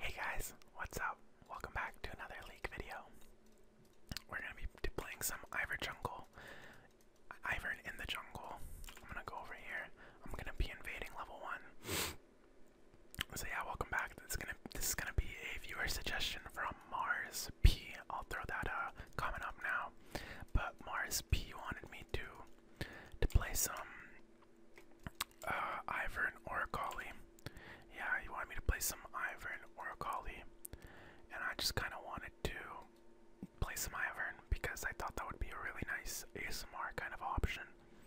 Hey guys, what's up? Welcome back to another League video. We're gonna be playing some Ivor Jungle. Ivor in the jungle. I'm gonna go over here. I'm gonna be invading level one. So yeah, welcome back. This is gonna be a viewer suggestion from Mars P. I'll throw that uh, comment up now. But Mars P wanted me to to play some uh, Ivern Oracoli. Yeah, you wanted me to play some Ivern Oracoli. And I just kind of wanted to play some Ivern because I thought that would be a really nice ASMR kind of option.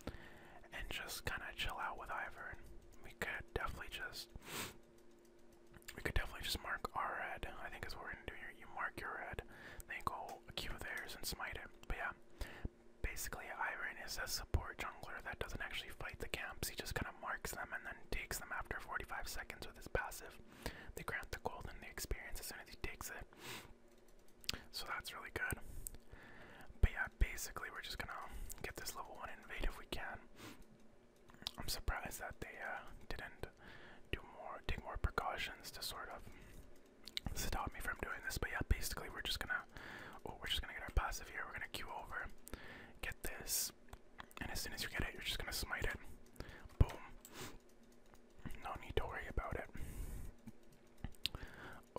And just kind of chill out with Ivern. We could definitely just. We could definitely just mark our red, I think is what we're gonna do here. You mark your red, then you go a Q theirs and smite it. But yeah, Basically, Iron is a support jungler that doesn't actually fight the camps, he just kind of marks them and then takes them after 45 seconds with his passive. They grant the gold and the experience as soon as he takes it. So that's really good. But yeah, basically, we're just gonna get this level 1 invade if we can. I'm surprised that they uh, didn't do more, take more precautions to sort of stop me from doing this. But yeah, basically, we're just gonna Oh, we're just gonna get our passive here. We're gonna Q over, get this, and as soon as you get it, you're just gonna smite it. Boom. No need to worry about it.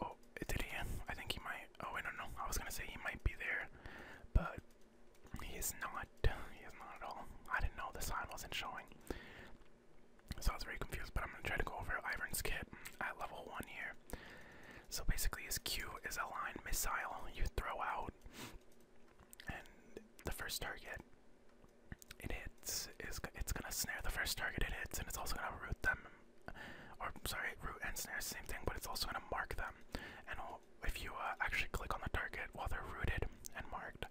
Oh, did he? I think he might. Oh, I don't I was gonna say he might be there, but he is not. He is not at all. I didn't know the sign wasn't showing. So I was very confused, but I'm gonna try to go over Ivern's kit at level one here. So basically, his Q is a line missile you throw out, and the first target it hits is it's gonna snare the first target it hits, and it's also gonna root them, or sorry, root and snare same thing, but it's also gonna mark them. And if you uh, actually click on the target while they're rooted and marked,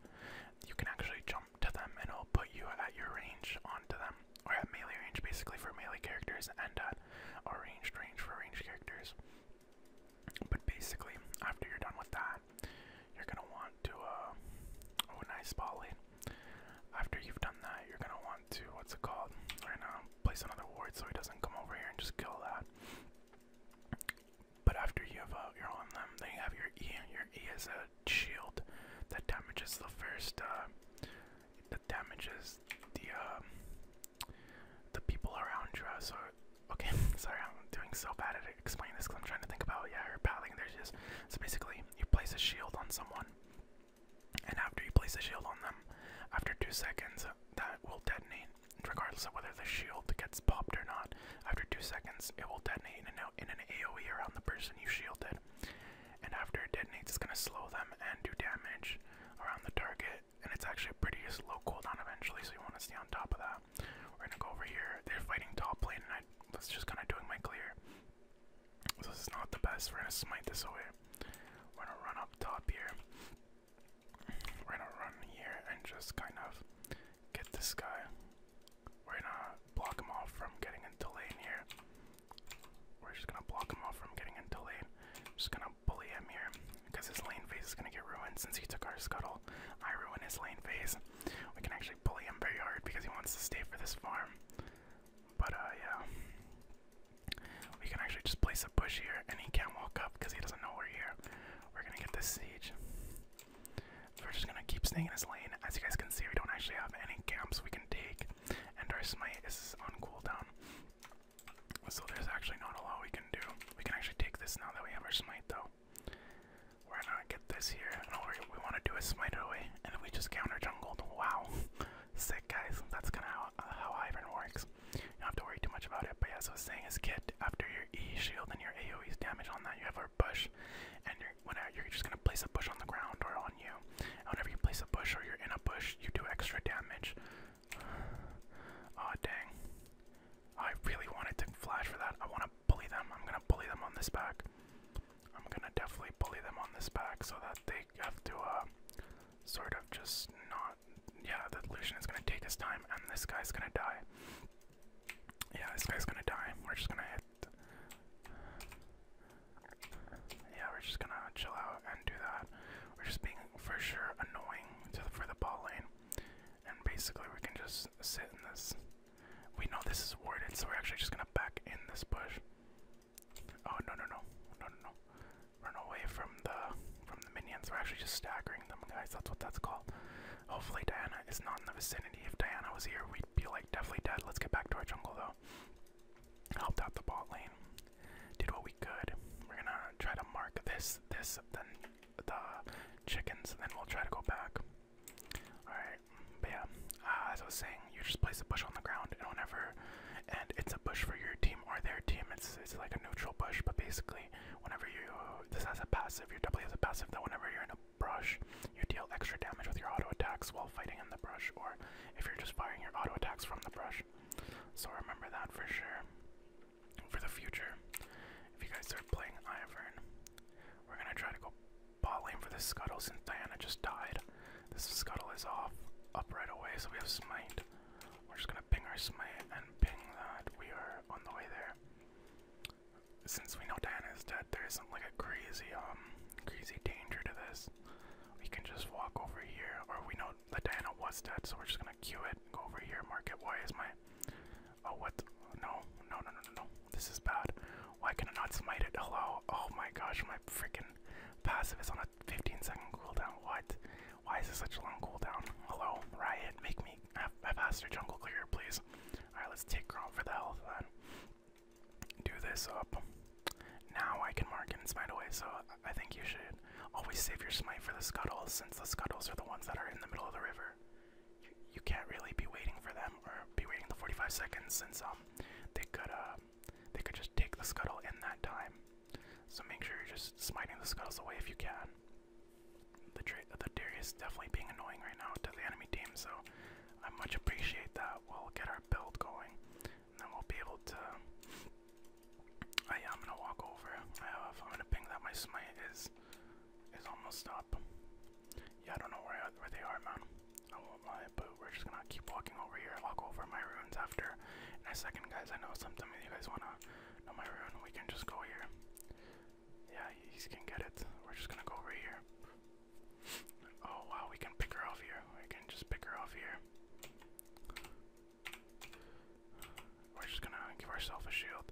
you can actually jump to them, and it'll put you at your range onto them or at melee range basically for melee characters and at uh, a ranged range for range characters. But basically, after you're done with that, you're gonna want to, uh, oh nice ball After you've done that, you're gonna want to, what's it called, right now, place another ward so he doesn't come over here and just kill that. But after you have, uh, you're on them, then you have your E, your E is a shield that damages the first, uh, damages the um, the people around you. So okay, sorry, I'm doing so bad at explaining this because I'm trying to think about yeah, or paddling. There's just so basically you place a shield on someone, and after you place a shield on them, after two seconds uh, that will detonate, regardless of whether the shield gets popped or not. After two seconds, it will detonate in an, in an AOE around the person you shielded and after it detonates, it's gonna slow them and do damage around the target. And it's actually a pretty slow cooldown eventually, so you want to stay on top of that. We're gonna go over here. They're fighting top lane, and I was just kind of doing my clear. this is not the best. We're gonna smite this away. We're gonna run up top here. We're gonna run here and just kind of get this guy. We're gonna block him off from getting into lane here. We're just gonna block him off from getting into lane. I'm Just gonna bully him here because his lane phase is gonna get ruined since he took our scuttle. I ruin his lane phase. We can actually bully him very hard because he wants to stay for this farm. But uh, yeah, we can actually just place a bush here, and he can't walk up because he doesn't know we're here. We're gonna get this siege. we're just gonna keep staying in his lane. As you guys can see, we don't actually have any camps we can take and our smite is on cooldown. So there's actually not a lot we can do. We can actually take this now that we have our smite, though. We're gonna get this here, and all we want to do is smite it away, and we just counter jungle. Wow, sick guys. That's kind of how, uh, how Ivern works. You don't have to worry too much about it. But yeah, as I was saying, is get after your E shield and your AOE damage on that, you have our push, and you're, just gonna place a push on the ground or on whenever you place a bush or you're in a bush, you do extra damage. Aw, dang. I really wanted to flash for that. I want to bully them. I'm going to bully them on this back. I'm going to definitely bully them on this back so that they have to uh, sort of just not. Yeah, the illusion is going to take his time and this guy's going to die. Yeah, this guy's going to die. We're just going to hit. Yeah, we're just gonna chill out and do that. We're just being for sure annoying to the, for the ball lane, and basically we can just sit in this. We know this is warded, so we're actually just gonna back in this bush. Oh no no no no no no! Run away from the from the minions. We're actually just staggering them, guys. That's what that's called. Hopefully Diana is not in the vicinity. If Diana was here, we'd be like definitely dead. Let's get back to our jungle though helped out the bot lane, did what we could. We're gonna try to mark this, this, then the chickens, and then we'll try to go back. Alright, but yeah, ah, as I was saying, you just place a bush on the ground, and whenever, and it's a bush for your team or their team, it's, it's like a neutral bush, but basically, whenever you, this has a passive, your W has a passive, that whenever you're in a brush, you deal extra damage with your auto attacks while fighting in the brush, or if you're just firing your auto attacks from the brush. So remember that for sure. For the future, if you guys start playing Ivern, we're gonna try to go bot lane for this scuttle since Diana just died. This scuttle is off up right away, so we have smite. We're just gonna ping our smite and ping that we are on the way there. Since we know Diana is dead, there isn't like a crazy um crazy danger to this we can just walk over here, or we know that Diana was dead, so we're just gonna queue it, go over here, mark it. Why is my. Oh, what? No, no, no, no, no, no. This is bad. Why can I not smite it? Hello? Oh my gosh, my freaking passive is on a 15 second cooldown. What? Why is this such a long cooldown? Hello, Riot, make me have a faster jungle clear, please. Alright, let's take Grom for the health then. Do this up. Now I can mark and smite away, so I think you should always save your smite for the scuttles, since the scuttles are the ones that are in the middle of the river. You, can't really be waiting for them, or be waiting the 45 seconds, since um, they could uh, they could just take the scuttle in that time. So make sure you're just smiting the scuttles away if you can. The the Darius definitely being annoying right now to the enemy team, so I much appreciate that. We'll get our build going and then we be able to. I'm gonna walk over. I have. I'm gonna ping that my smite is is almost up. Yeah, I don't know where where they are, man. I won't lie, but we're just gonna keep walking over here. Walk over my ruins after. In a second, guys. I know sometimes you guys wanna know my ruin. We can just go here. Yeah, you can get it. We're just gonna go over here. Oh wow, we can pick her off here. We can just pick her off here. We're just gonna give ourselves a shield.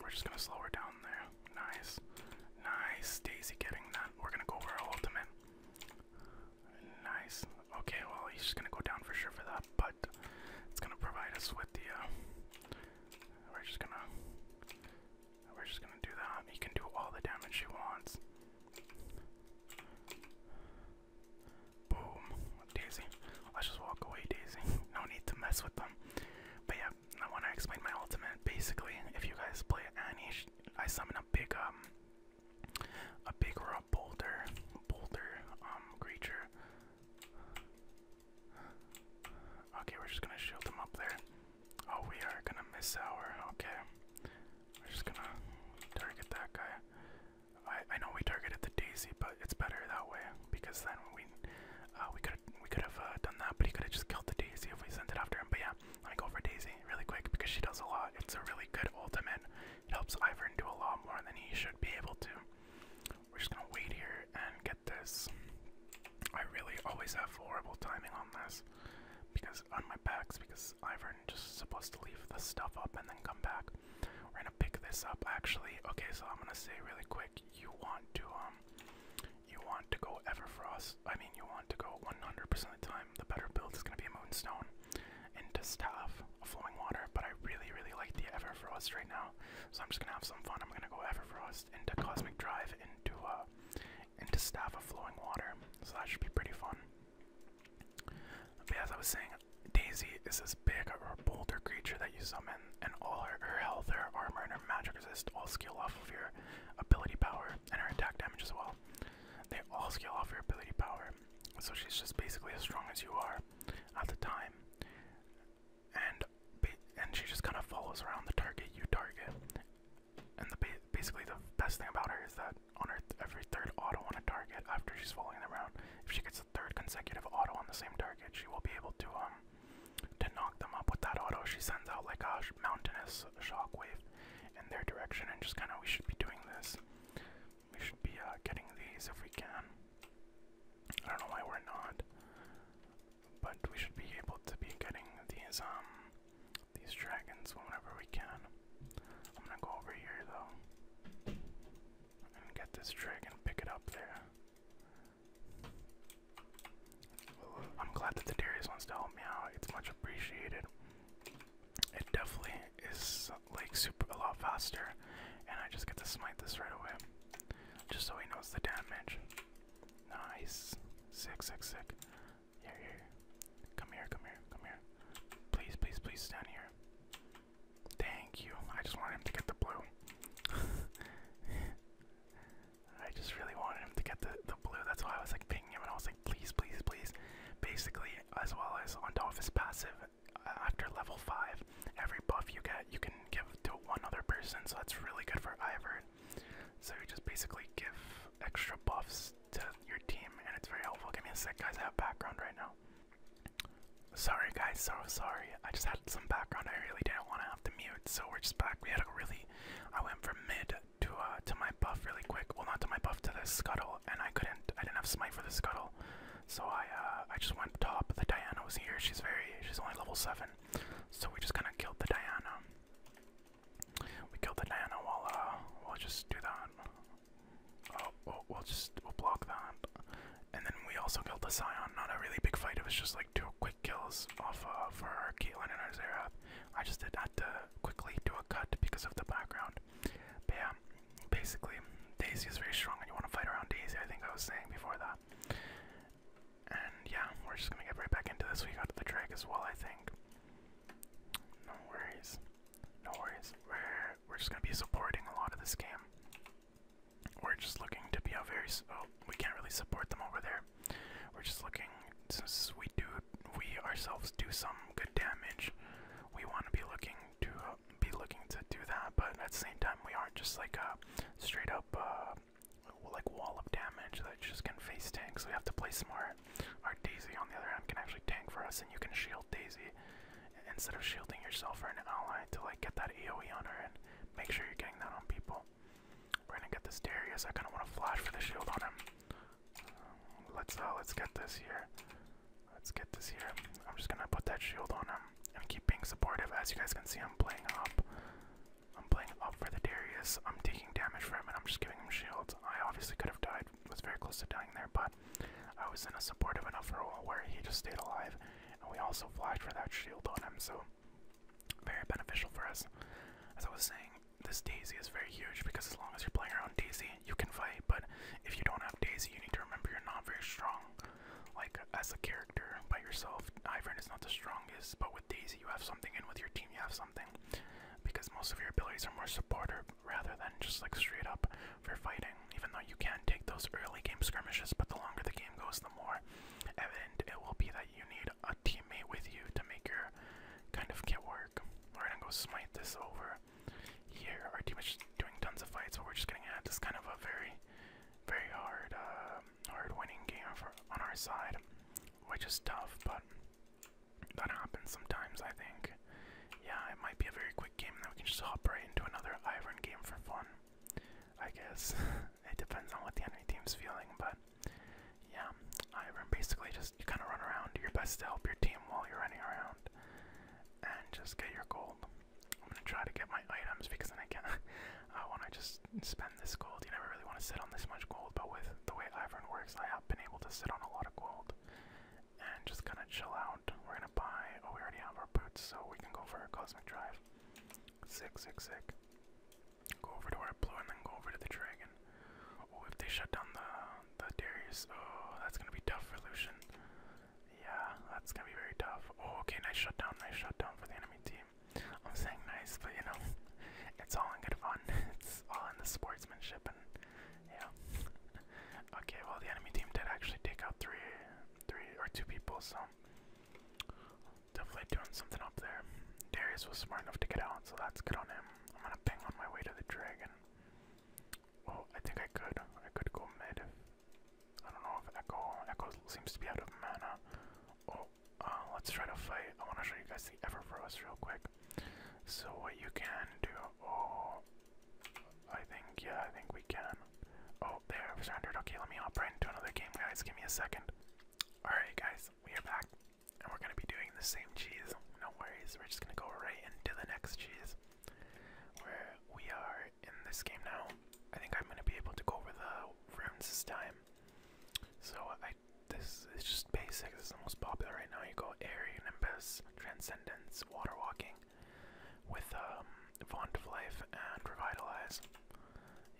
We're just gonna slow her down there. Nice. Nice. Daisy getting that. We're gonna go for our ultimate. Nice. Okay, well, he's just gonna go down for sure for that, but it's gonna provide us with the, uh, we're just gonna, we're just gonna do that. He can do all the damage he wants. Boom. Daisy. Let's just walk away, Daisy. No need to mess with them. But yeah, I want to explain my ultimate. Basically, if you guys play any, I summon a big, um, a big or boulder, boulder, um, creature. Okay, we're just gonna shield them up there. Oh, we are gonna miss our. Okay, we're just gonna target that guy. I know we targeted the daisy, but it's better that way because then we uh, we could we could have uh, done that, but he could have just killed the daisy if we sent it after him. But yeah, let me go for daisy really quick because she does a lot. It's a really good ultimate. helps Ivern do a lot more than he should be able to. We're just gonna wait here and get this. I really always have horrible timing on this because on my backs because Ivern turn, just supposed to leave the stuff up and then come back. We're gonna pick this up actually. Okay, so I'm gonna say really quick, you want to um you want to go Everfrost. I mean you want to go 100% of the time. The better build is gonna be a moonstone into staff a flowing water, but I really, really like the Everfrost right now. So I'm just gonna have some fun. I'm gonna go Everfrost into Cosmic Drive into uh into staff a flowing water. So that should be pretty fun as I was saying, Daisy is this big or bolder creature that you summon, and all her, health, her armor, and her magic resist all scale off of your ability power, and her attack damage as well. They all scale off your ability power. So she's just basically as strong as you are at the time. And and she just kind of follows around the target you target. And the basically the best thing about her is that on her every third auto on a target after she's following around. If she gets a third consecutive auto on the same target, she will be able to um to knock them up with that auto. She sends out like a mountainous shockwave in their direction, and just kind of we should be doing this. We should be uh, getting these if we can. I don't know why we're not, but we should be able to be getting these um these dragons whenever we can. I'm gonna go over here though and get this trig pick it up there. I'm glad that the Darius wants to help me out. It's much appreciated. It definitely is like super a lot faster, and I just get to smite this right away, just so he knows the damage. Nice, sick, sick, sick. Here, here. Come here, come here, come here. Please, please, please stand here. Thank you. I just wanted him to get the blue. I just really wanted him to get the, the blue. That's why I was like pinging him and I was like, please, please, please. Basically, as well as on top passive, uh, after level 5, every buff you get, you can give to one other person. So that's really good for Ivern. So you just basically give extra buffs to your team, and it's very helpful. Give me a sec, guys. I have background right now. Sorry, guys. So sorry. I just had some background. I really didn't want to have to mute, so we're just back. We had a really. I went from mid to uh to my buff really quick. Well, not to my buff, to the scuttle, and I couldn't. I didn't have smite for the scuttle, so I uh I just went top. The Diana was here. She's very. She's only level seven, so we just kind of killed the Diana. We killed the Diana while uh we'll just do that. Oh, oh, we'll just we'll block that. And then we also killed the Scion. Not a really big fight. It was just like two quick kills off uh, of our Caitlyn and our Xerath. I just did not quickly do a cut because of the background. But basically, Daisy is very strong, and you want to fight around Daisy. I think I was saying before that. And yeah, we're just gonna get right back into this. We got the drag as well, I think. No worries. No worries. We're we're just gonna be supporting a lot of this game. We're just looking to be a very. Oh, we can't really support them over there. We're just looking since we do we ourselves do some good damage. We want to be looking to be looking to do that, but at the same time we aren't just like a straight up uh, like wall of damage that just can face tanks. We have to play smart. Our Daisy, on the other hand, can actually tank for us, and you can shield Daisy instead of shielding yourself or an ally to like get that AoE on her and make sure you're getting that on people. We're gonna get this Darius. I kind of want to flash for the shield on him. Um, let's uh, let's get this here. Let's get this here. I'm just gonna put that shield on him and keep being supportive. As you guys can see, I'm playing up. I'm playing up for the Darius. I'm taking damage for him, and I'm just giving him shields. I obviously could have died. Was very close to dying there, but I was in a supportive enough role where he just stayed alive, and we also flashed for that shield on him, so very beneficial for us. As I was saying, this Daisy is very huge because as long as you're playing around Daisy, you can fight, but if you don't have Daisy, you need to remember you're not very strong. Like, as a character by yourself, Ivern is not the strongest, but with Daisy, you have something, and with your team, you have something. Because most of your abilities are more supportive rather than just like straight up for fighting. Even though you can take those early game skirmishes, but the longer the game goes, the more evident it will be that you need a teammate with you to make your kind of kit work. We're gonna go smite this over here. Our team is doing tons of fights, so we're just gonna at this kind of a very, very hard, um, hard winning game for, on our side, which is tough, but that happens sometimes, I think. Yeah, it might be a very quick game, and then we can just hop right into another Iron game for fun. I guess. it depends on what the enemy team's feeling, but yeah, Iron basically just kind of run around, do your best to help your team while you're running around, and just get your gold. I'm gonna try to get my items because then I can. I want to just spend this gold. You never really want to sit on this much gold, but with the way Ivern works, I have been able to sit on a lot of gold and just kind of chill out. We're gonna buy. Oh, we already have our boots, so we can go for a cosmic drive. Sick, sick, sick. Go over to our blue and then go over to the dragon. Oh, if they shut down the the Darius, oh, that's gonna be tough for Lucian. Yeah, that's gonna be very tough. Oh, okay, nice shutdown, nice shutdown for the enemy team. I'm saying nice, but you know, it's all in good fun. It's all in the sportsmanship and yeah. Okay, well the enemy team did actually take out three three or two people, so definitely doing something up there. Darius was smart enough to get out, so that's good on him. I'm gonna ping on my way to the dragon. Well, oh, I think I could. I could go mid. I don't know if Echo Echo seems to be out of mana. Oh, uh, let's try to fight. I wanna show you guys the Everfrost real quick. So what you can do, oh, I think, yeah, I think we can. Oh, there, I've surrendered. Okay, let me hop right into another game, guys. Give me a second. Alright, guys, we are back. And we're gonna be doing the same cheese. No worries, we're just gonna go right into the next cheese. Where we are in this game now. I think I'm gonna be able to go over the rooms this time. So I this is just basic, this is the most popular right now. You go Air, Nimbus, Transcendence, Water Walking, with um, Font of Life and Revitalize.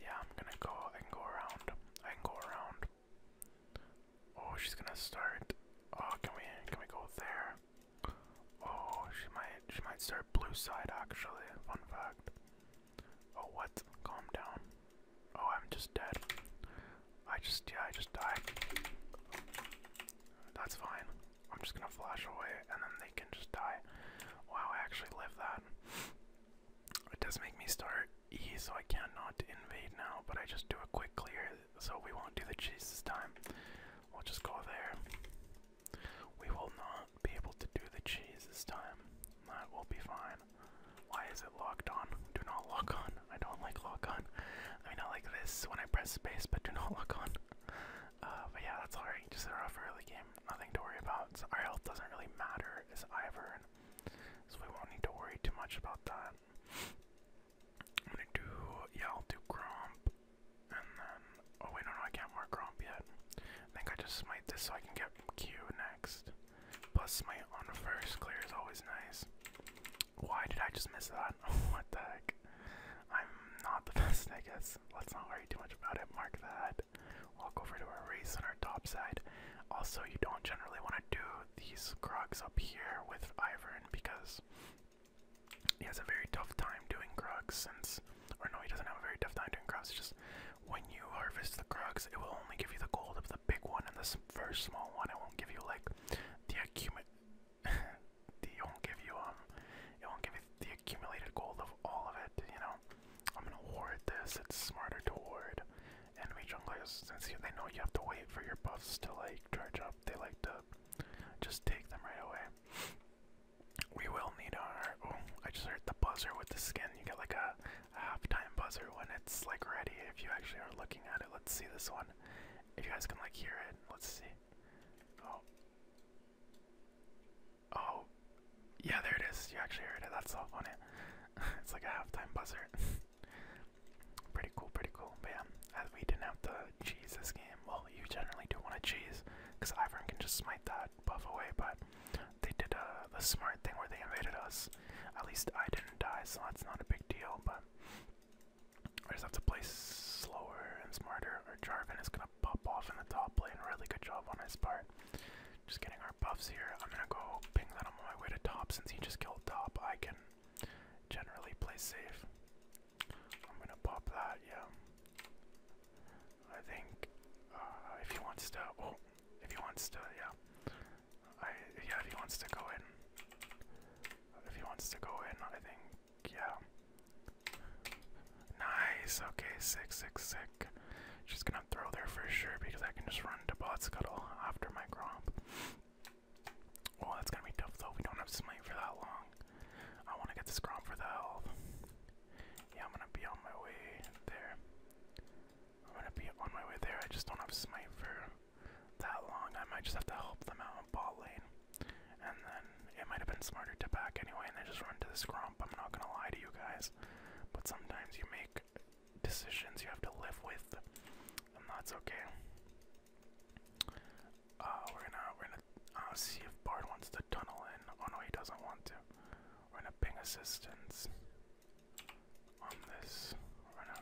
Yeah, I'm gonna go. I can go around. I can go around. Oh, she's gonna start. Oh, can we? Can we go there? Oh, she might. She might start blue side. Actually, fun fact. Oh, what? Calm down. Oh, I'm just dead. I just. Yeah, I just died. That's fine. I'm just gonna flash away and then they can just die. Wow, I actually live that. It does make me start E, so I cannot invade now, but I just do a quick clear so we won't do the cheese this time. We'll just go there. We will not be able to do the cheese this time. That will be fine. Why is it locked on? Do not lock on. I don't like lock on. I mean, I like this when I press space, but do not lock on. Uh, but yeah, that's alright. Just a rough early game. Nothing to worry about. our health doesn't really matter as Ivern, so we won't need to worry too much about that. I'm gonna do, yeah, I'll do Gromp, and then, oh wait, no, I can't mark Gromp yet. I think I just smite this so I can get Q next. Plus, smite on the first clear is always nice. Why did I just miss that? what the heck? I'm not the best, I guess. Let's not worry too much about it. Mark that. Walk over to our race on our top side. Also, you don't generally want to do these Krugs up here with Ivern because he has a very tough time doing Krugs since, or no, he doesn't have a very tough time doing Krugs. It's just when you harvest the Krugs, it will only give you the gold of the big one and the first small one. It won't give you like the acumen. it won't give you um it won't give you the accumulated gold of all of it, you know. I'm gonna ward this, it's smarter to ward. Enemy junglers, since they know you have to wait for your buffs to like charge up, they like to just take them right away. We will need our oh, I just heard the buzzer with the skin. You get like a, a half-time buzzer when it's like ready if you actually are looking at it. Let's see this one. If you guys can like hear it, let's see. Oh. Oh. Yeah, there it is. You actually heard it. That's so funny. it's like a halftime buzzer. pretty cool, pretty cool. But we didn't have to cheese this game. Well, you generally do want to cheese because Ivern can just smite that buff away, but they did a uh, smart thing where they invaded us. At least I didn't die, so that's not a big deal, but I just have to play slower and smarter, or Jarvan is gonna pop off in the top lane. Really good job on his part. Just getting our buffs here. I'm gonna go ping that I'm on my way to top since he just killed top. I can generally play safe. I'm gonna pop that, yeah. I think uh, if he wants to, oh, if he wants to, yeah. yeah, if he wants to go in, if he wants to go in, I think yeah. Nice. Okay, sick, sick, sick. She's gonna throw there for sure because I can just run to bot scuttle after my gromp. Well, that's gonna be tough though. We don't have smite for that long. I want to get the gromp for the health. Yeah, I'm gonna be on my way there. I'm gonna be on my way there. I just don't have smite for that long. I might just have to help them out in ball lane. And then it might have been smarter to back anyway and then just run to the scrump. I'm not gonna lie to you guys. But sometimes you make decisions you have to live with. And that's okay. Uh, we're gonna we're gonna uh, see if Bard wants to tunnel in. Oh no, he doesn't want to. We're gonna ping assistance on this. We're gonna,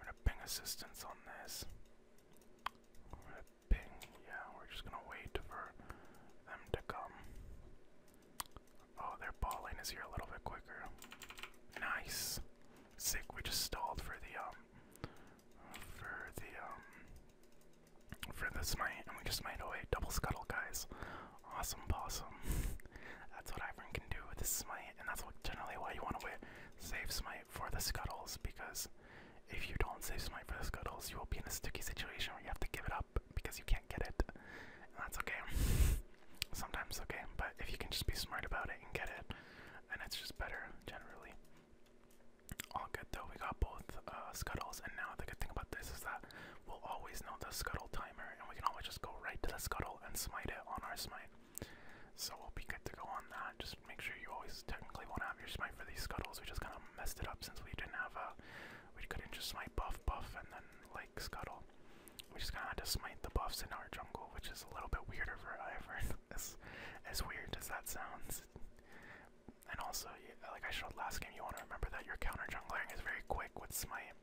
we're gonna ping assistance on this ping. Yeah, we're just gonna wait for them to come. Oh, their ball is here a little bit quicker. Nice. Sick. We just stalled for the um, for the um, for the smite, and we just made away double scuttle, guys. Awesome, possum. that's what Ivern can do with the smite, and that's what generally why you want to wait save smite for the scuttles because if you don't save some money for the scuttles, you will be in a sticky situation where you have to give it up because you can't get it. And that's okay. Sometimes okay, but if you can just be smart about it and get it, and it's just better generally. All good though, we got both uh, scuttles, and now the good thing about this is that we'll always know the scuttle timer, and we can always just go right to the scuttle and smite it on our smite. So we'll be good to go on that. Just make sure you always technically want to have your smite for these scuttles. We just kind of messed it up since we didn't have a. We couldn't just smite buff, buff, and then like scuttle. We just kind of had to smite the buffs in our jungle, which is a little bit weirder for Ivern. as, as weird as that sounds. And also, like I showed last game, you want to remember that your counter jungling is very quick with smite.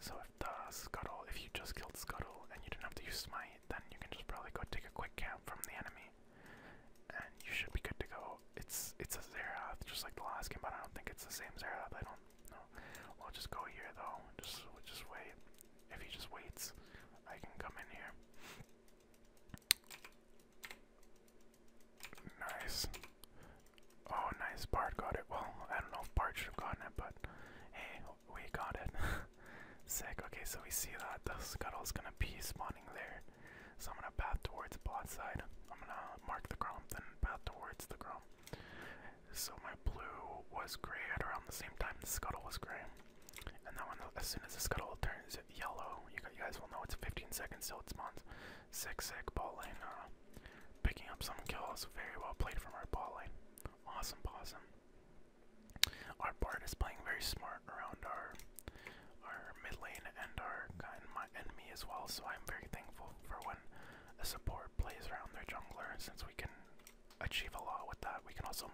So if the scuttle, if you just killed scuttle and you didn't have to use smite, then you can just probably go take a quick count from the enemy and you should be good to go. It's it's a Xerath, just like the last game, but I don't think it's the same Xerath. I don't know. We'll just go here though. Just just wait. If he just waits, I can come in here. Nice. Oh, nice. Bart got it. Well, I don't know if should have gotten it, but hey, we got it. Sick. Okay, so we see that the scuttle is gonna be spawning there. So I'm gonna path towards bot side. I'm gonna mark the grump, then path towards the grump. So my blue was gray at around the same time the scuttle was gray. And then when as soon as the scuttle turns yellow, you, guys will know it's 15 seconds till it spawns. Sick, sick, ball lane. Uh, picking up some kills. Very well played from our ball lane. Awesome, awesome. Our bard is playing very smart around our our mid lane and our and my enemy as well, so I'm very thankful for when a support plays around their jungler since we can achieve a lot with that. We can also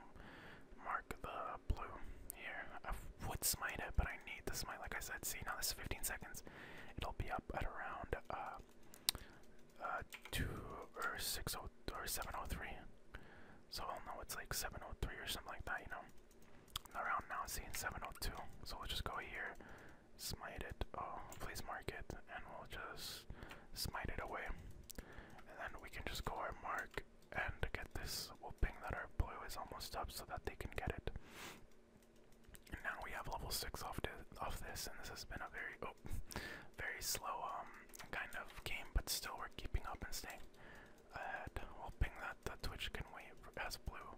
mark the blue here. I would smite it, but I need to smite like I said. See now this is 15 seconds. It'll be up at around uh uh two or six oh or seven oh three. So I'll know it's like 703 or something like that, you know. around now it's seeing 702. So we'll just go here, smite it, oh, please mark it, and we'll just smite it away. And then we can just go our mark and get this. We'll ping that our blue is almost up so that they can get it. And now we have level six off, off this, and this has been a very, oh, very slow um, kind of game, but still we're keeping up and staying I'm hoping that. The Twitch can wait. for Has blue.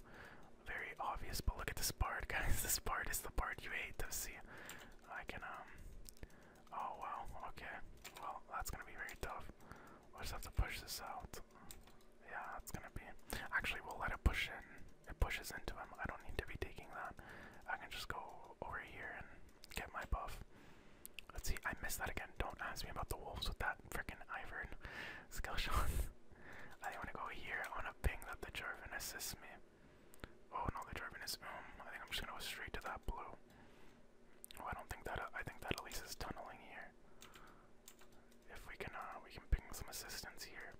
Very obvious, but look at this part, guys. This part is the part you hate to see. I can, um. Oh, wow. Okay. Well, that's gonna be very tough. I just have to push this out. Yeah, that's gonna be. Actually, we'll let it push in. It pushes into him. I don't need to be taking that. I can just go over here and get my buff. Let's see, I missed that again. Don't ask me about the wolves with that freaking Ivern skill shot. I want to go here. I want to ping that the Jarvan assists me. Oh no, the Jarvan is. Um, I think I'm just gonna go straight to that blue. Oh, I don't think that. I think that at least is tunneling here. If we can, uh, we can ping some assistance here.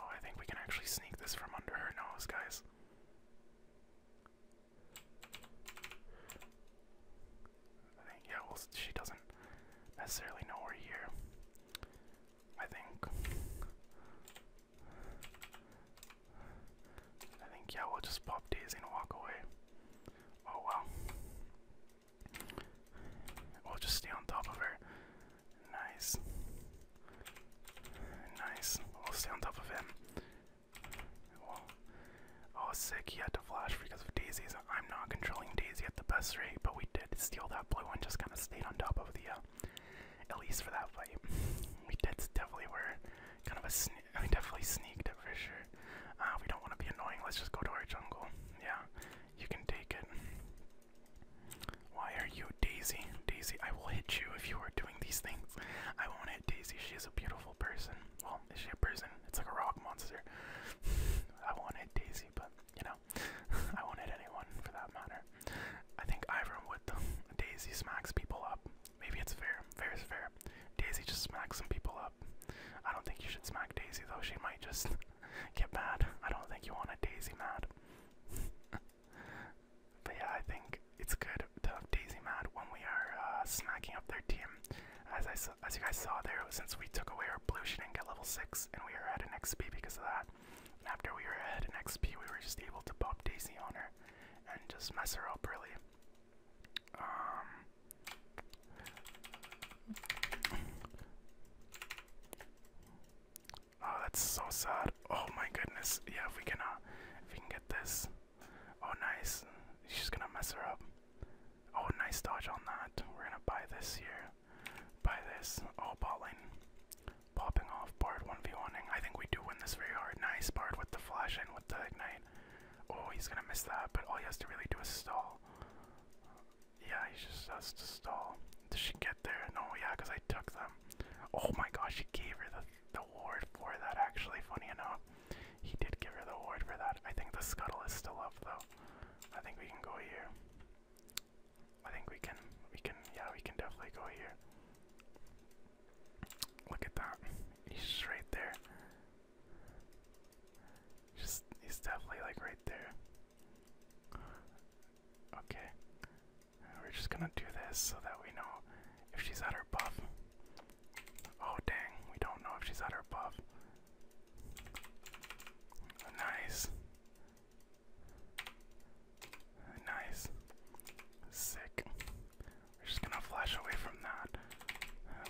Oh, I think we can actually sneak this from under her nose, guys. I think, yeah, well, she doesn't necessarily know we're here. I think. I think, yeah, we'll just pop Daisy and walk away. Oh, well. We'll just stay on top of her. Nice. Nice. We'll stay on top of him. Oh, oh, sick. He had to flash because of Daisy's. I'm not controlling Daisy at the best rate, but we did steal that blue one. just kind of stayed on top of the, uh, at least for that fight. We did definitely were kind of a sne we definitely sneaked it for sure. Uh, we don't want to be annoying. Let's just go to our jungle. Yeah, you can take it. Why are you Daisy? Daisy, I will hit you if you are doing these things. I won't hit Daisy. She is a beautiful person. Well, is a prison? It's like a rock monster. I won't hit Daisy, but you know, I won't hit anyone for that matter. I think Ivern would Daisy smacks people up. Maybe it's fair. Fair is fair. Daisy just smacks some people up. I don't think you should smack Daisy though. She might just get mad. I don't think you want a Daisy mad. but yeah, I think it's good to have Daisy mad when we are uh, smacking up their team as I as you guys saw there, since we took away our blue, she didn't get level six, and we were at an XP because of that. And after we were ahead in XP, we were just able to pop Daisy on her and just mess her up really. Um, oh, that's so sad. Oh my goodness. Yeah, if we can, uh, if we can get this. Oh, nice. She's gonna mess her up. Oh, nice dodge on that. We're gonna buy this here. Buy this. Oh, balling, Popping off. Bard one v one I think we do win this very hard. Nice. Bard with the flash and with the ignite. Oh, he's gonna miss that, but all he has to really do is stall. Yeah, he just has to stall. Did she get there? No, yeah, because I took them. Oh my gosh, she gave her the, the ward for that, actually, funny enough. He did give her the award for that. I think the scuttle is still up though. I think we can go here. I think we can we can yeah, we can definitely go here. Look at that. He's right there. Just he's definitely like right there. Okay. We're just gonna do this so that we know if she's at her buff. Oh dang, we don't know if she's at her buff. Nice. Nice. Sick. We're just gonna flash away from that.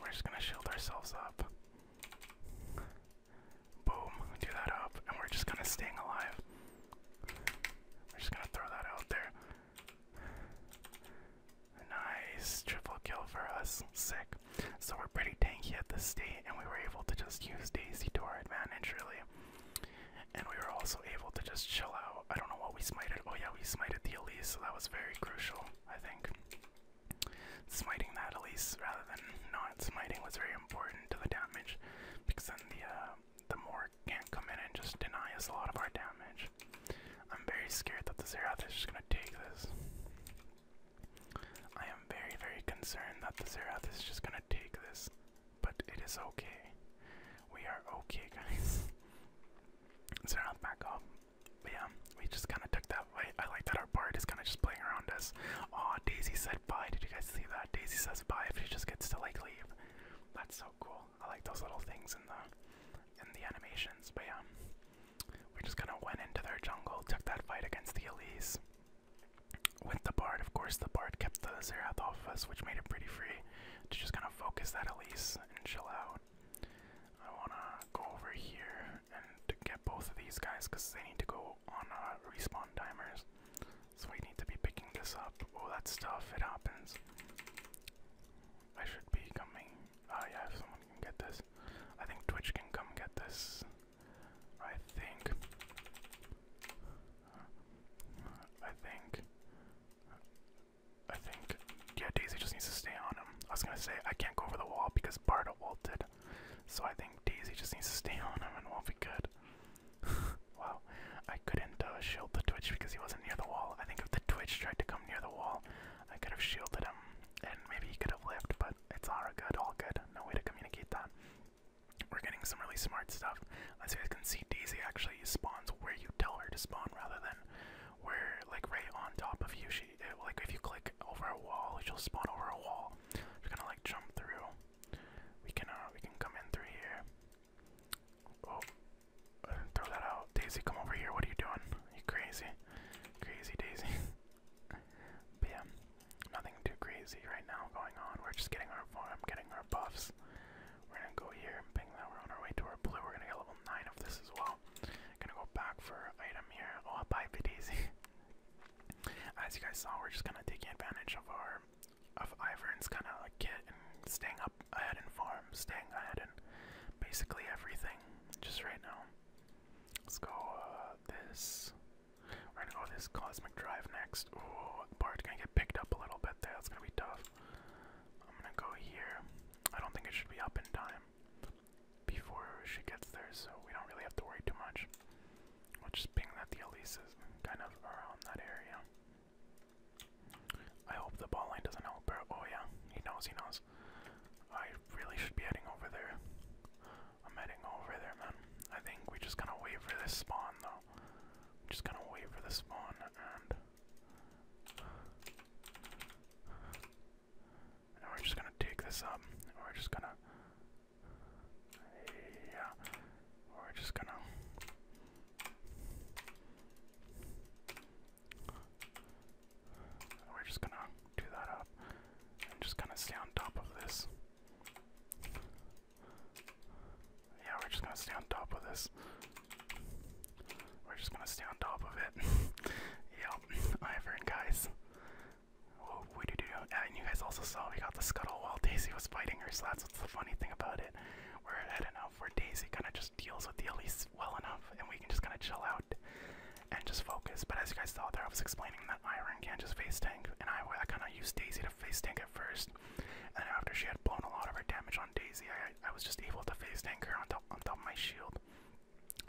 we're just gonna shield ourselves up. Boom. Do that up. And we're just gonna staying alive. We're just gonna throw that out there. Nice triple kill for us. Sick. So we're pretty tanky at this state, and we were able to just use Daisy to our advantage, really. And we were also able to just chill out. I don't know what we smited. Oh, yeah, we smited the Elise, so that was very crucial, I think. Smiting that Elise rather than not smiting was very important to the damage because then the, uh, the Morgue can't come in and just deny us a lot of our damage. I'm very scared that the Xerath is just gonna take this. I am very, very concerned that the Xerath is just gonna take this, but it is okay. We are okay, guys. Xerath back up. But yeah, we just kind of took that way. I like that our bard is kind of just playing around us. Aw, Daisy said bye. Did you guys see that? Daisy says bye if she just gets to like leave. That's so cool. I like those little things in the in the animations. But yeah, we just kind of went into their jungle, took that fight against the Elise. With the Bard, of course, the Bard kept the Zerath off us, which made it pretty free to just kind of focus that Elise and chill out. I wanna go over here and get both of these guys because they need to go on uh, respawn timers. So we need to be picking this up. Oh, that's tough. It happens. I should be coming. Ah, uh, yeah, if someone can get this. I think Twitch can come get this. I think. Uh, I think. I think. Yeah, Daisy just needs to stay on him. I was gonna say, I can't go over the wall because Barda walted. So I think Daisy just needs to stay on him and we'll be good. wow, I couldn't uh, shield the Twitch because he wasn't near the wall. I think if the Twitch tried to come near the wall, I could have shielded him, and maybe he could have lived, but it's all good, all good. No way to communicate that. We're getting some really smart stuff. As you guys can see, Daisy actually spawns where you tell her to spawn rather than where, like, right on top of you. She, like, if you click over a wall, she'll spawn over a wall. We're gonna, like, jump through. We can, uh, we can come in through here. Oh, throw that out. Daisy, come over here. What are you doing? You crazy. Crazy Daisy. yeah, nothing too crazy right now going on. We're just getting our farm, getting our buffs. We're gonna go here ping that. We're on our way to our blue. We're gonna get level 9 of this as well. Gonna go back for item here. Oh, bye, bit Daisy. As you guys saw, we're just kinda taking advantage of our of Ivern's kinda kit and staying up ahead and farm, staying ahead in basically everything just right now. Let's go uh, this. We're gonna go this cosmic drive next. Bart's gonna get picked up a little bit there. That's gonna be tough. I'm gonna go here. I don't think it should be up in time before she gets there, so we don't really have to worry too much. just ping that the Elise kind of around that area. I hope the ball line doesn't help her. Oh yeah, he knows, he knows. I really should be heading over there. I'm heading over there, man. I think we are just going to wait for this spawn, though. just gonna wait for the spawn and. we're just gonna take this up. we're just gonna. Yeah. We're just gonna. We're just gonna do that up and just kind of stay on top of this. Yeah, we're just gonna stay on top of this. We're just gonna stay on top of it. yep, Ivern, guys. Well, we do do, and you guys also saw we got the scuttle while Daisy was fighting her. So that's what's the funny thing about it. We're not know, where Daisy kind of just deals with the Elise well enough, and we can just kind of chill out and just focus. But as you guys saw there, I was explaining that Iron can just face tank, and I, I kind of used Daisy to face tank at first. And after she had blown a lot of her damage on Daisy, I, I was just able to face tank her on top, on top of my shield.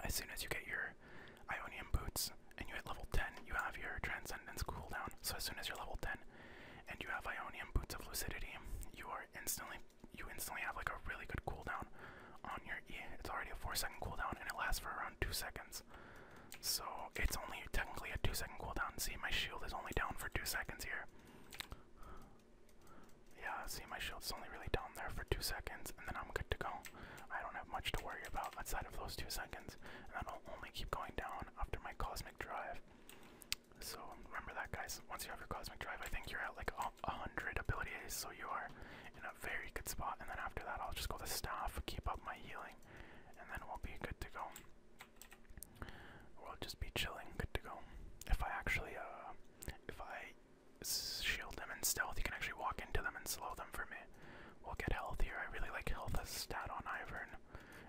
As soon as you get your Ionian boots and you hit level 10, you have your Transcendence cooldown. So as soon as you're level 10 and you have Ionian boots of lucidity, you are instantly you instantly have like a really good cooldown on your E. It's already a four second cooldown and it lasts for around two seconds. So it's only technically a two second cooldown. See my shield is only down for two seconds here. Yeah, see my shield's only really down there for two seconds and then I'm good to go. I don't have much to worry about outside of those two seconds. And that'll only keep going down after my cosmic drive. So remember that guys, once you have your cosmic drive, I think you're at like a hundred ability A's, so you are in a very good spot. And then after that, I'll just go to staff, keep up my healing, and then we'll be good to go. We'll just be chilling, good to go. If I actually, uh, if I shield them in stealth, you can actually walk into them and slow them for me. We'll get healthier. I really like health as a stat on Ivern.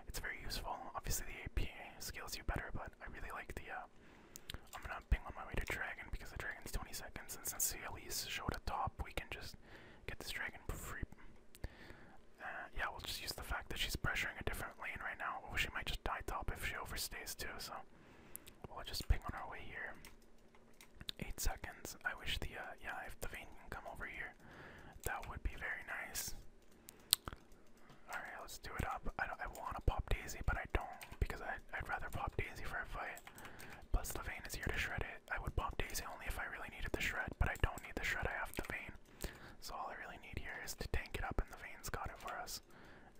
It's very useful. Obviously, the AP scales you better, but I really like the uh, I'm gonna ping on my way to dragon because the dragon's 20 seconds, and since the Elise showed a top, we can just get this dragon for free. Uh, yeah, we'll just use the fact that she's pressuring a different lane right now. Well, she might just die top if she overstays too, so we'll just ping on our way here. Eight seconds. I wish the uh, yeah, if the vein can come over here, that would be very nice. All right, let's do it up. I, don't, I want to pop Daisy, but I don't because I I'd, rather pop Daisy for a fight. Plus, the vein is here to shred it. I would pop Daisy only if I really needed the shred, but I don't need the shred, I have the vein. So, all I really need here is to tank it up, and the vein's got it for us.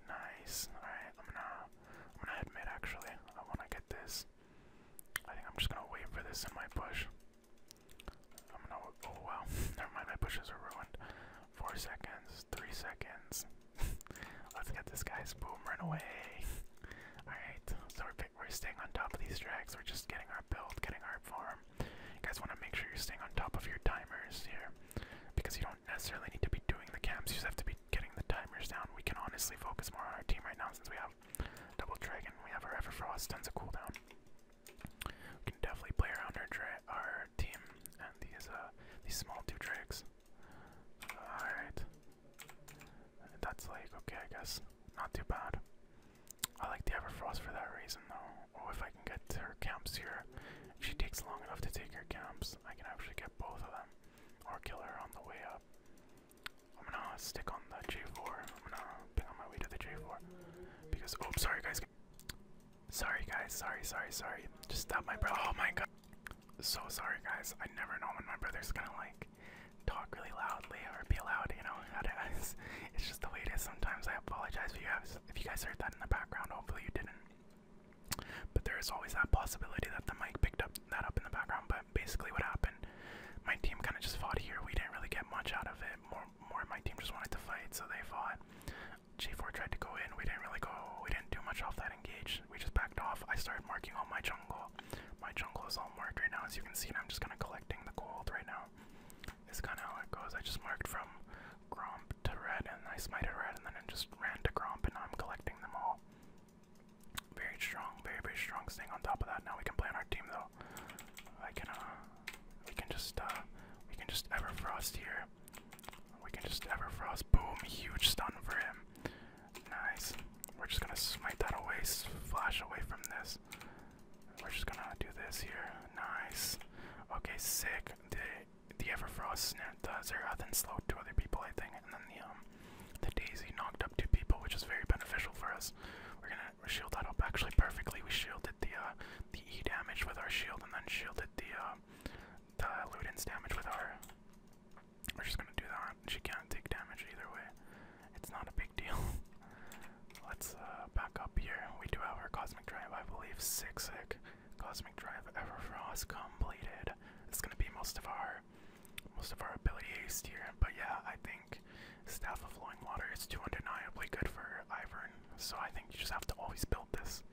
Nice. Alright, I'm gonna, I'm gonna head actually. I wanna get this. I think I'm just gonna wait for this in my bush. I'm gonna. Oh wow, never mind. My bushes are ruined. Four seconds, three seconds, Let's get this guy's boom run away. Alright, so we're, staying on top of these tracks. We're just getting our build, getting our form. You guys want to make sure you're staying on top of your timers here. Because you don't necessarily need to be doing the camps, you just have to be getting the timers down. We can honestly focus more on our team right now since we have Double Dragon, we have our Everfrost, tons of cooldown. We can definitely play around our, our team and these, uh, these small two tricks. Alright. That's like, okay, I guess. Not too bad. I like the Everfrost for that reason, though. Oh, if I can get to her camps here. If she takes long enough to take her camps, I can actually get both of them. Or kill her on the way up. I'm gonna stick on the J4. I'm gonna ping on my way to the J4. Because, Oh, sorry guys. Sorry guys, sorry, sorry, sorry. Just stop my bro. Oh my god so sorry guys. I never know when my brother's gonna like talk really loudly or be loud, you know, it is. just the way it is sometimes. I apologize if you guys heard that in the background, hopefully you didn't. But there is always that possibility that the mic picked up that up in the background. But basically what happened, my team kinda just fought here. We didn't really get much out of it. More more of my team just wanted to fight, so they fought. G4 tried to go in, we didn't really go we didn't do much off that engage, we just backed off. I started marking all my jungle. My jungle is all marked right now, as you can see, and I'm just kind of collecting the gold right now. It's kind of how it goes. I just marked from Gromp to red, and I smited red, and then it just ran to Gromp, and I'm collecting them all. Very strong, very, very strong. Staying on top of that. Now we can play on our team, though. I can, uh, we can just, uh, we can just Everfrost here. We can just Everfrost. Boom, huge stun for him. Nice. We're just gonna smite that away, flash away from this. We're just gonna do this here. Nice. Okay, sick. The the Everfrost does Zerathan slowed two other people, I think, and then the um the Daisy knocked up two people, which is very beneficial for us. We're gonna shield that up actually perfectly. We shielded the uh the E damage with our shield and then shielded the uh the Ludens damage with our we're just gonna do that. She can't take damage either way. It's not a big deal. Let's uh, back up here. We do have our Cosmic Drive, I believe. Six sick. Cosmic Drive ever frost completed. It's gonna be most of our most of our ability haste here. But yeah, I think Staff of Flowing Water is too undeniably good for Ivern. So I think you just have to always build this.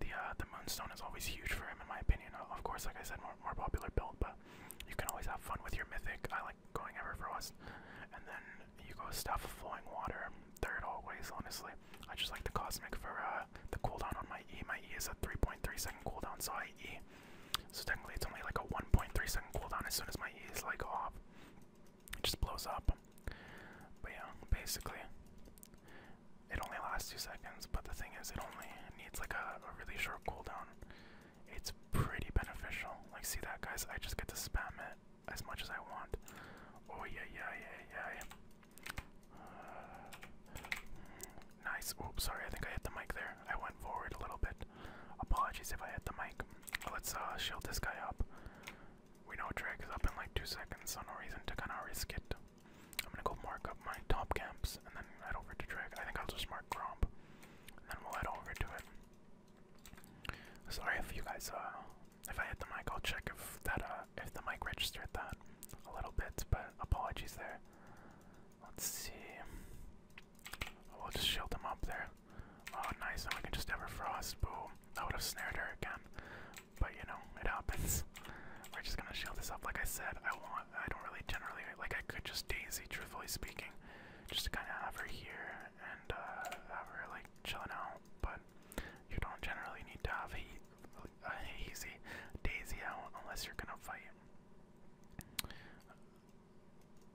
The uh, the moonstone is always huge for him, in my opinion. Uh, of course, like I said, more more popular build, but you can always have fun with your mythic. I like going ever frost, and then you go stuff Flowing Water. Third always, honestly. I just like the Cosmic for uh, the cooldown on my E. My E is a 3.3 second cooldown, so I E. So technically, it's only like a 1.3 second cooldown as soon as my E is like off. It just blows up. But yeah, basically, it only lasts two seconds, but the thing is, it only needs like a, a really short cooldown. It's pretty beneficial. Like, see that, guys? I just get to spam it as much as I want. Oh yeah, yeah, yeah, yeah. Uh, nice. Oops, sorry. I think I hit the mic there. I went forward a little bit. Apologies if I hit the mic. Let's uh, shield this guy up. We know Drake is up in like two seconds, so no reason to kind of risk it. I'm gonna go mark up my top camps and then head over to Drake. I think I'll just mark Gromp. And then we'll head over to it. Sorry if you guys uh if I hit the mic I'll check if that uh if the mic registered that a little bit, but apologies there. Let's see. We'll just shield them up there. Oh nice, Now we can just ever frost. Boom. That would have snared her again. But you know, it happens. We're just gonna shield this up. Like I said, I want I don't really generally like. I could just daisy, truthfully speaking, just to kind of have her here and uh, have her like chilling out. But you don't generally need to have a, hazy daisy out unless you're gonna fight.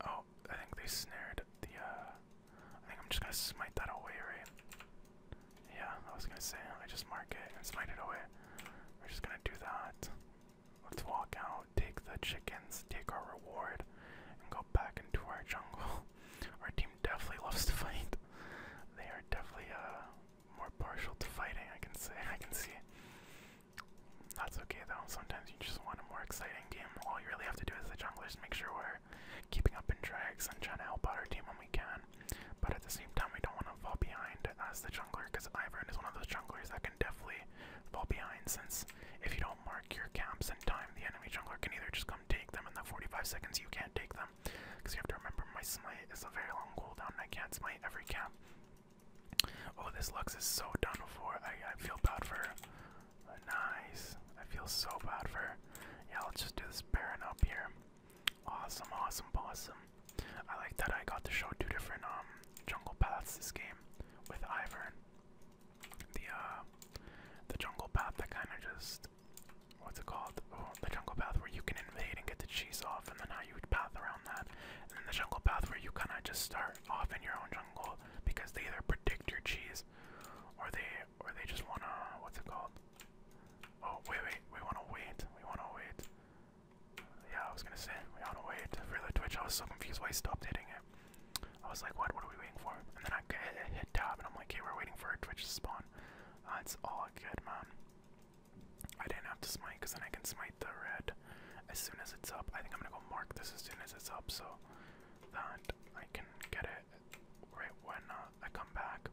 Oh, I think they snared the. Uh, I think I'm just gonna smite that away, right? Yeah, I was gonna say I just mark it and smite it away. We're just gonna do that. Let's walk out, take the chickens, take our reward, and go back into our jungle. Our team definitely loves to fight. They are definitely uh, more partial to fighting, I can say. I can see. That's okay though. Sometimes you just want a more exciting game. All you really have to do as the jungler is make sure we're keeping up in drags and trying to help out our team when we can. But at the same time, we don't want to fall behind as the jungler because Ivern is one of those junglers that can definitely fall behind since if you don't mark your camps in time, the enemy jungler can either just come take them in the 45 seconds you can't take them. Because you have to remember my smite is a very long cooldown and I can't smite every camp. Oh, this Lux is so done for. I, I feel bad for Nice. I feel so bad for Yeah, let's just do this Baron up here. Awesome, awesome, awesome. I like that I got to show two different um jungle paths this game with Ivern. The uh the jungle path that kinda just what's it called? Oh, the jungle path where you can invade and get the cheese off and then how you would path around that. And then the jungle path where you kinda just start off in your own jungle because they either predict your cheese or they or they just wanna what's it called? Oh wait wait we wanna wait. We wanna wait. Yeah, I was gonna say, we on to wait for the Twitch. I was so confused why I stopped hitting it. I was like, what? What are we waiting for? And then I hit, hit tab, and I'm like, okay, we're waiting for a Twitch to spawn. Uh, it's all good, man. I didn't have to smite, because then I can smite the red as soon as it's up. I think I'm gonna go mark this as soon as it's up, so that I can get it right when uh, I come back.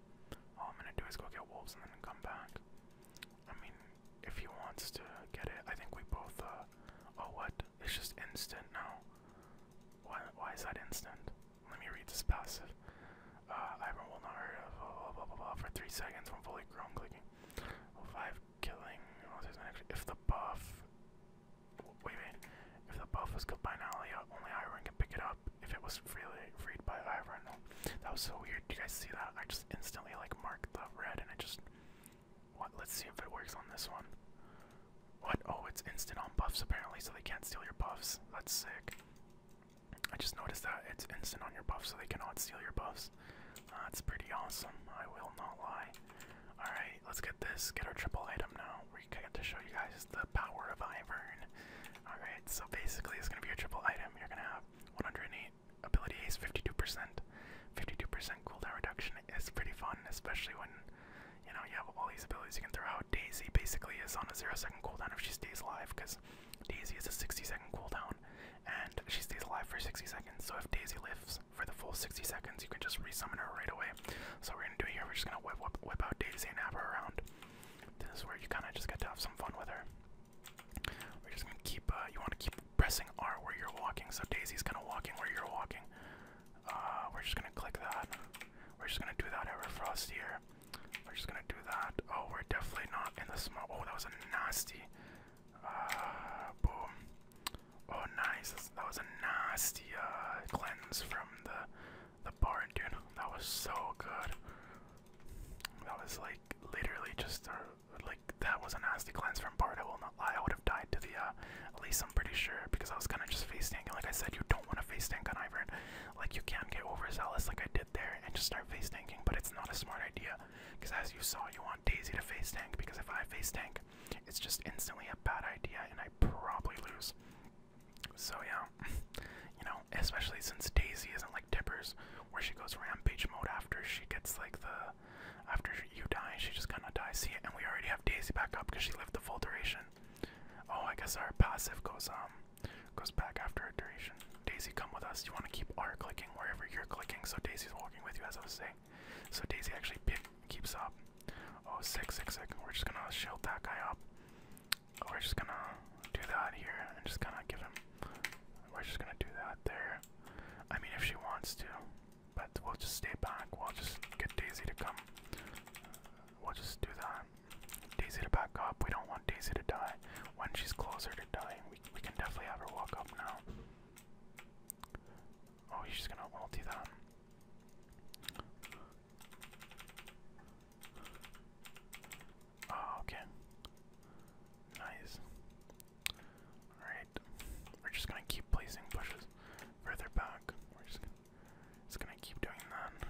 All I'm gonna do is go get wolves and then come back. I mean, if he wants to get it, I think we both, uh, oh what? It's just instant now. Why, why is that instant? Let me read this passive. Uh, Iron will for 3 seconds when fully grown clicking. 5 killing, if the buff, wait, wait, if the buff was killed by an only Iron uh, can pick it up. If it was freely freed by Iron, that was so weird. Do you guys see that? I just instantly like marked the red and I just what let's see if it works on this one. What? Oh, it's instant on buffs apparently, so they can't steal your buffs. That's sick. I just noticed that it's instant on your buffs, so they cannot steal your buffs. that's pretty awesome. I will not lie. All right, let's get this. Get our triple item now. We get to show you guys the power of Ivern. All right, so basically it's gonna be a triple item. You're gonna have 108 ability is 52%. 52% cooldown reduction is pretty fun, especially when you know you have all these abilities you can throw out. Daisy basically is on a zero second cooldown if she stays alive, because Daisy is a 60 second cooldown, and she stays alive for 60 seconds. So if Daisy lives for the full 60 seconds, you can just resummon her right away. So we're gonna do here. We're just gonna whip, whip, whip out Daisy and have her around. This is where you kind of just get to have some fun with her. We're just gonna keep. Uh, you want to keep pressing R where you're walking. So Daisy's kind of walking where you're walking. Uh, we're just gonna click that. We're just gonna do that Ever Frost We're just gonna do that. Oh, we're definitely not in the smoke. Oh, that was a nasty. Uh, boom. Oh, nice. that was a nasty uh, cleanse from the the barn, dude. That was so good. That was like literally just a like that was a nasty glance from Bart. I will not lie. I would have died to the at uh, least. I'm pretty sure because I was kind of just face tanking. like I said, you don't want to face tank on Ivern. Like you can't get overzealous like I did there and just start face tanking. But it's not a smart idea because as you saw, you want Daisy to face tank because if I face tank, it's just instantly a bad idea and I probably lose. So yeah, you know, especially since Daisy isn't like Tippers, where she goes rampage mode after she gets like the after you die she just kind of dies see and we already have daisy back up because she lived the full duration oh i guess our passive goes um goes back after a duration daisy come with us you want to keep r clicking wherever you're clicking so daisy's walking with you as i was saying so daisy actually keeps up oh we're just gonna shield that guy up we're just gonna do that here and just kind of give him we're just gonna do that there. I mean, if she wants to, but we'll just stay back. We'll just get Daisy to come. We'll just do that. Daisy to back up. We don't want Daisy to die. When she's closer to dying, we, we can definitely have her walk up now. Oh, he's just gonna We'll do that. Oh, okay. Nice. Alright. We're just gonna keep placing bushes further back. We're just gonna, keep doing that.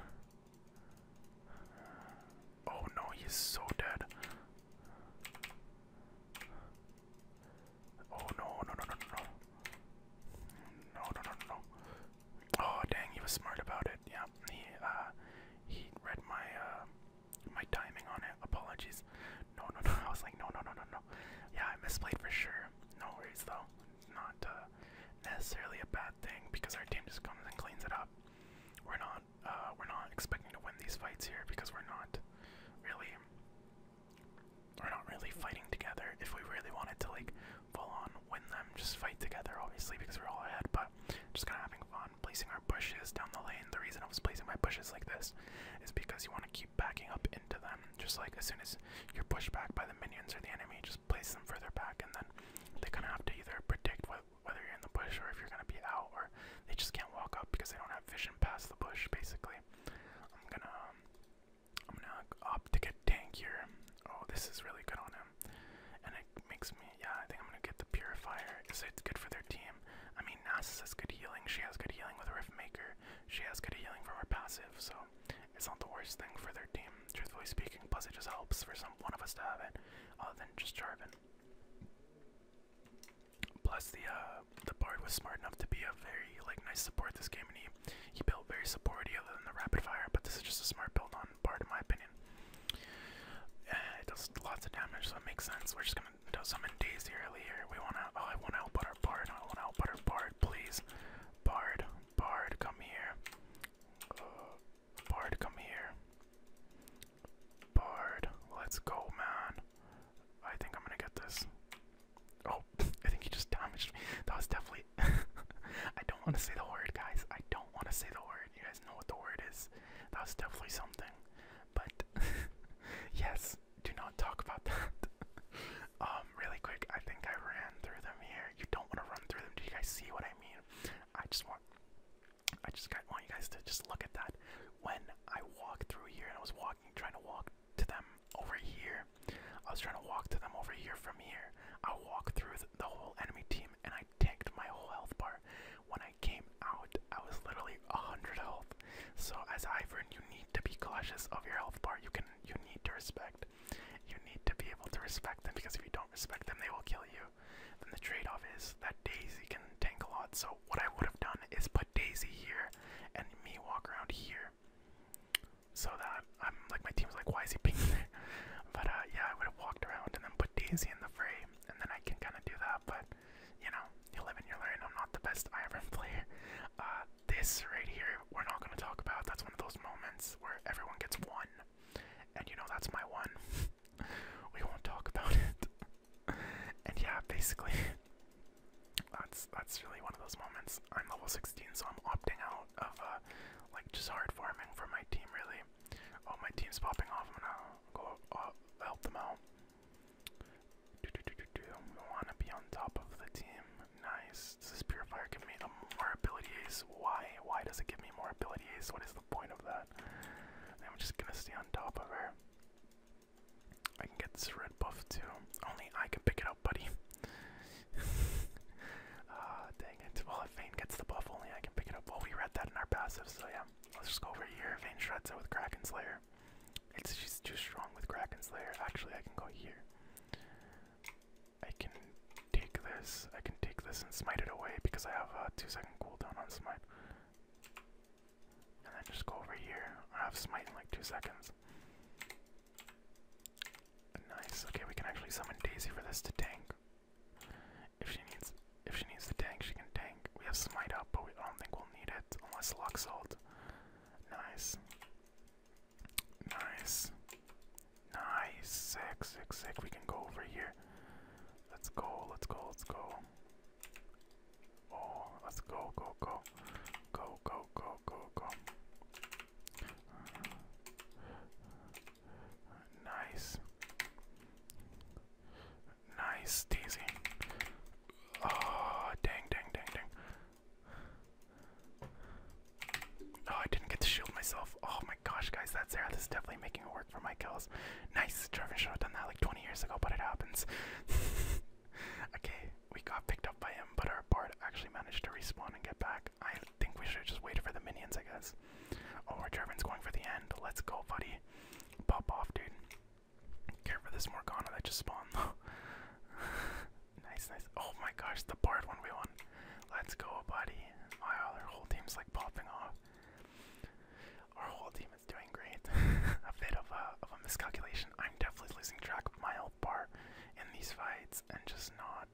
Oh no, he's so dead. Oh no, no, no, no, no. No, no, no, no. Oh dang, he was smart about it. Yeah, he, uh, he read my, uh, my timing on it. Apologies. No, no, no. I was like, no, no, no, no, no. Yeah, I misplayed for sure. No worries though. Not uh, necessarily a bad thing because our team just comes and cleans it up. We're not, uh, we're not expecting to win these fights here because we're not really, we're not really fighting together. If we really wanted to like full on win them, just fight together, obviously because we're all ahead. But just kind of having fun placing our bushes down the lane. The reason I was placing my bushes like this is because you want to keep backing up into them. Just like as soon as you're pushed back by the minions or the enemy, just place them further back, and then they are gonna have to either predict whether you're in the bush or if you're going to be out, or they just can't walk up because they don't have vision past the bush. Basically, I'm gonna um, I'm gonna opt to get tank here. Oh, this is really good on him, and it makes me yeah. I think I'm gonna get the. Purifier is it's good for their team. I mean, Nasus has good healing. She has good healing with Riftmaker. She has good healing from her passive, so it's not the worst thing for their team, truthfully speaking. Plus, it just helps for some one of us to have it, other than just Jarvan. Plus, the uh, the bard was smart enough to be a very like nice support this game, and he he built very supporty other than the rapid fire. But this is just a smart build on bard, in my opinion. Uh, it does lots of damage, so it makes sense. We're just gonna do summon Daisy earlier. We wanna. Oh, I wanna help our bard. I wanna help our bard, please. Bard, bard, come here. Uh, bard, come here. Bard, let's go, man. I think I'm gonna get this. Oh, I think he just damaged me. That was definitely. I don't want to say the word, guys. I don't want to say the word word. You guys know what the word is. That definitely something. But yes, do not talk about that. um, really quick, I think I ran through them here. You don't want to run through them. Do you guys see what I mean? I just want I just want you guys to just look at that. When I walked through here and I was walking, trying to walk to them over here, I was trying to walk to them over here from here. I walked through the whole enemy team and I tanked my whole health bar. When I came out, I was literally 100 health. So as Ivern, you need to be cautious of your health bar. You can, you need to respect. You need to be able to respect them because if you don't respect them, they will kill you. Then the trade-off is that Daisy can tank a lot. So what I would have done is put Daisy here and me walk around here, so that I'm like my team's like, why is he pink? but uh, yeah, I would have walked around and then put Daisy in the fray, and then I can kind of do that. But you know, you live and you learn. I'm not the best Iron player. Uh, this right here, we're not gonna talk about. That's one of those moments where everyone gets one, and you know that's my one. we won't talk about it. and yeah, basically, that's that's really one of those moments. I'm level 16, so I'm opting out of uh, like just hard farming for my team. Really, oh my team's popping off. I'm gonna go uh, help them out. We want to be on top of the team. Nice. this purifier give me more abilities? Why? Why does it give me more abilities? What is the point of that? I'm just gonna stay on top of her. I can get this red buff too. Only I can pick it up, buddy. Ah, dang it. Well, if Vayne gets the buff, only I can pick it up. Well, we read that in our passive, so yeah. Let's just go over here. Vein shreds it with Kraken Slayer. It's she's too strong with Kraken Slayer. Actually, I can go here. I can take this. I can take this and smite it away because I have a two-second cooldown on smite. And then just go over here. I have smite in like two seconds. Nice. Okay, we can actually summon Daisy for this to tank if she needs. If she needs the tank, she can tank. We have smite up, but we don't think we'll need it unless luck salt. Nice. Nice. Nice. Sick, sick, sick. We can go over here. Let's go, let's go, let's go. Oh, let's go, go, go. Go, go, go, go, go. Nice. Nice, Daisy. Oh, dang, dang, dang, dang. Oh, I didn't get to shield myself. Oh my gosh, guys, that's there. This is definitely making it work for my kills. Nice, Trevor should have done that like 20 years ago, but it happens. okay, we got picked up by him, but our board actually managed to respawn and get back. I think we should have just waited for the minions, I guess. Oh, Trevor's going for the end. Let's go, buddy. Pop off, dude. Care for this Morgana that just spawned nice, nice. Oh my gosh, the Bard one we won. Let's go, buddy. My whole team's like popping off. Our whole team is doing great. a bit of a of a miscalculation. I'm definitely losing track of my old bar in these fights and just not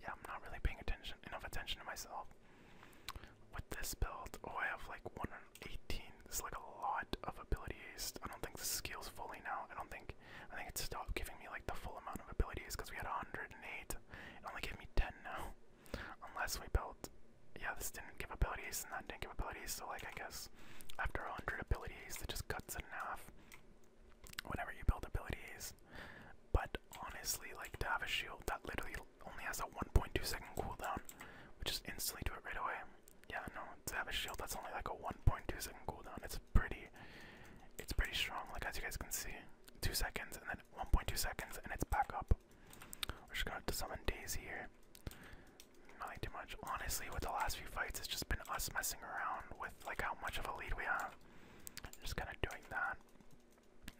yeah, I'm not really paying attention enough attention to myself with this build. Oh, I have like 118. There's like a lot of abilities. I don't think the skill's fully now. I don't think. I think it stopped giving me like the full amount of abilities because we had 108. It only gave me 10 now. Unless we built. Yeah, this didn't give abilities and that didn't give abilities. So, like, I guess after 100 abilities, it just cuts it in half whenever you build abilities. But honestly, like, to have a shield that literally only has a 1.2 second cooldown, which is instantly do it right away. Yeah, no, to have a shield that's only like a 1.2 second cooldown. It's pretty, it's pretty strong. Like as you guys can see, two seconds and then 1.2 seconds, and it's back up. We're just gonna have to summon Daisy here. Nothing too much. Honestly, with the last few fights, it's just been us messing around with like how much of a lead we have. Just kind of doing that.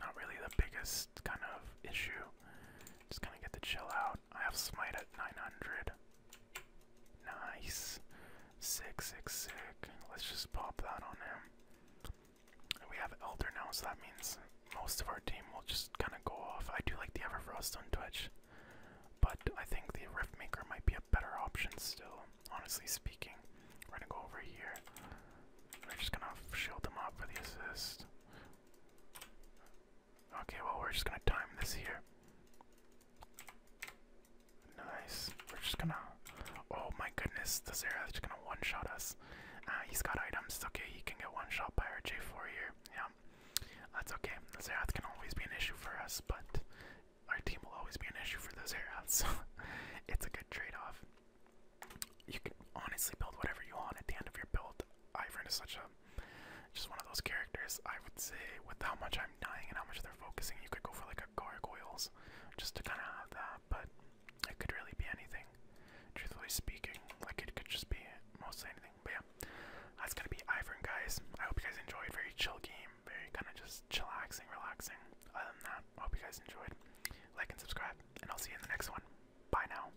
Not really the biggest kind of issue. Just kind of get the chill out. I have smite at 900. Nice. Sick, sick, Let's just pop that on him. We have Elder now, so that means most of our team will just kind of go off. I do like the Everfrost on Twitch, but I think the Riftmaker might be a better option still, honestly speaking. We're gonna go over here. We're just gonna shield them up for the assist. Okay, well, we're just gonna time this here. Nice. We're just gonna. Oh my goodness, the Zerath's just gonna one shot us. Ah, he's got items. Okay, he can get one shot by our J4 here. Yeah. That's okay. The Zerath can always be an issue for us, but our team will always be an issue for the Zerath, so it's a good trade off. You can honestly build whatever you want at the end of your build. Ivern is such a just one of those characters. I would say, with how much I'm dying and how much they're focusing, you could go for like a gargoyles just to kind of have that, but it could really be anything, truthfully speaking. Like, it could just be mostly anything, but yeah, that's gonna be Ivern, guys. I hope you guys enjoyed. Very chill game, very kind of just chillaxing, relaxing. Other than that, hope you guys enjoyed. Like and subscribe, and I'll see you in the next one. Bye now.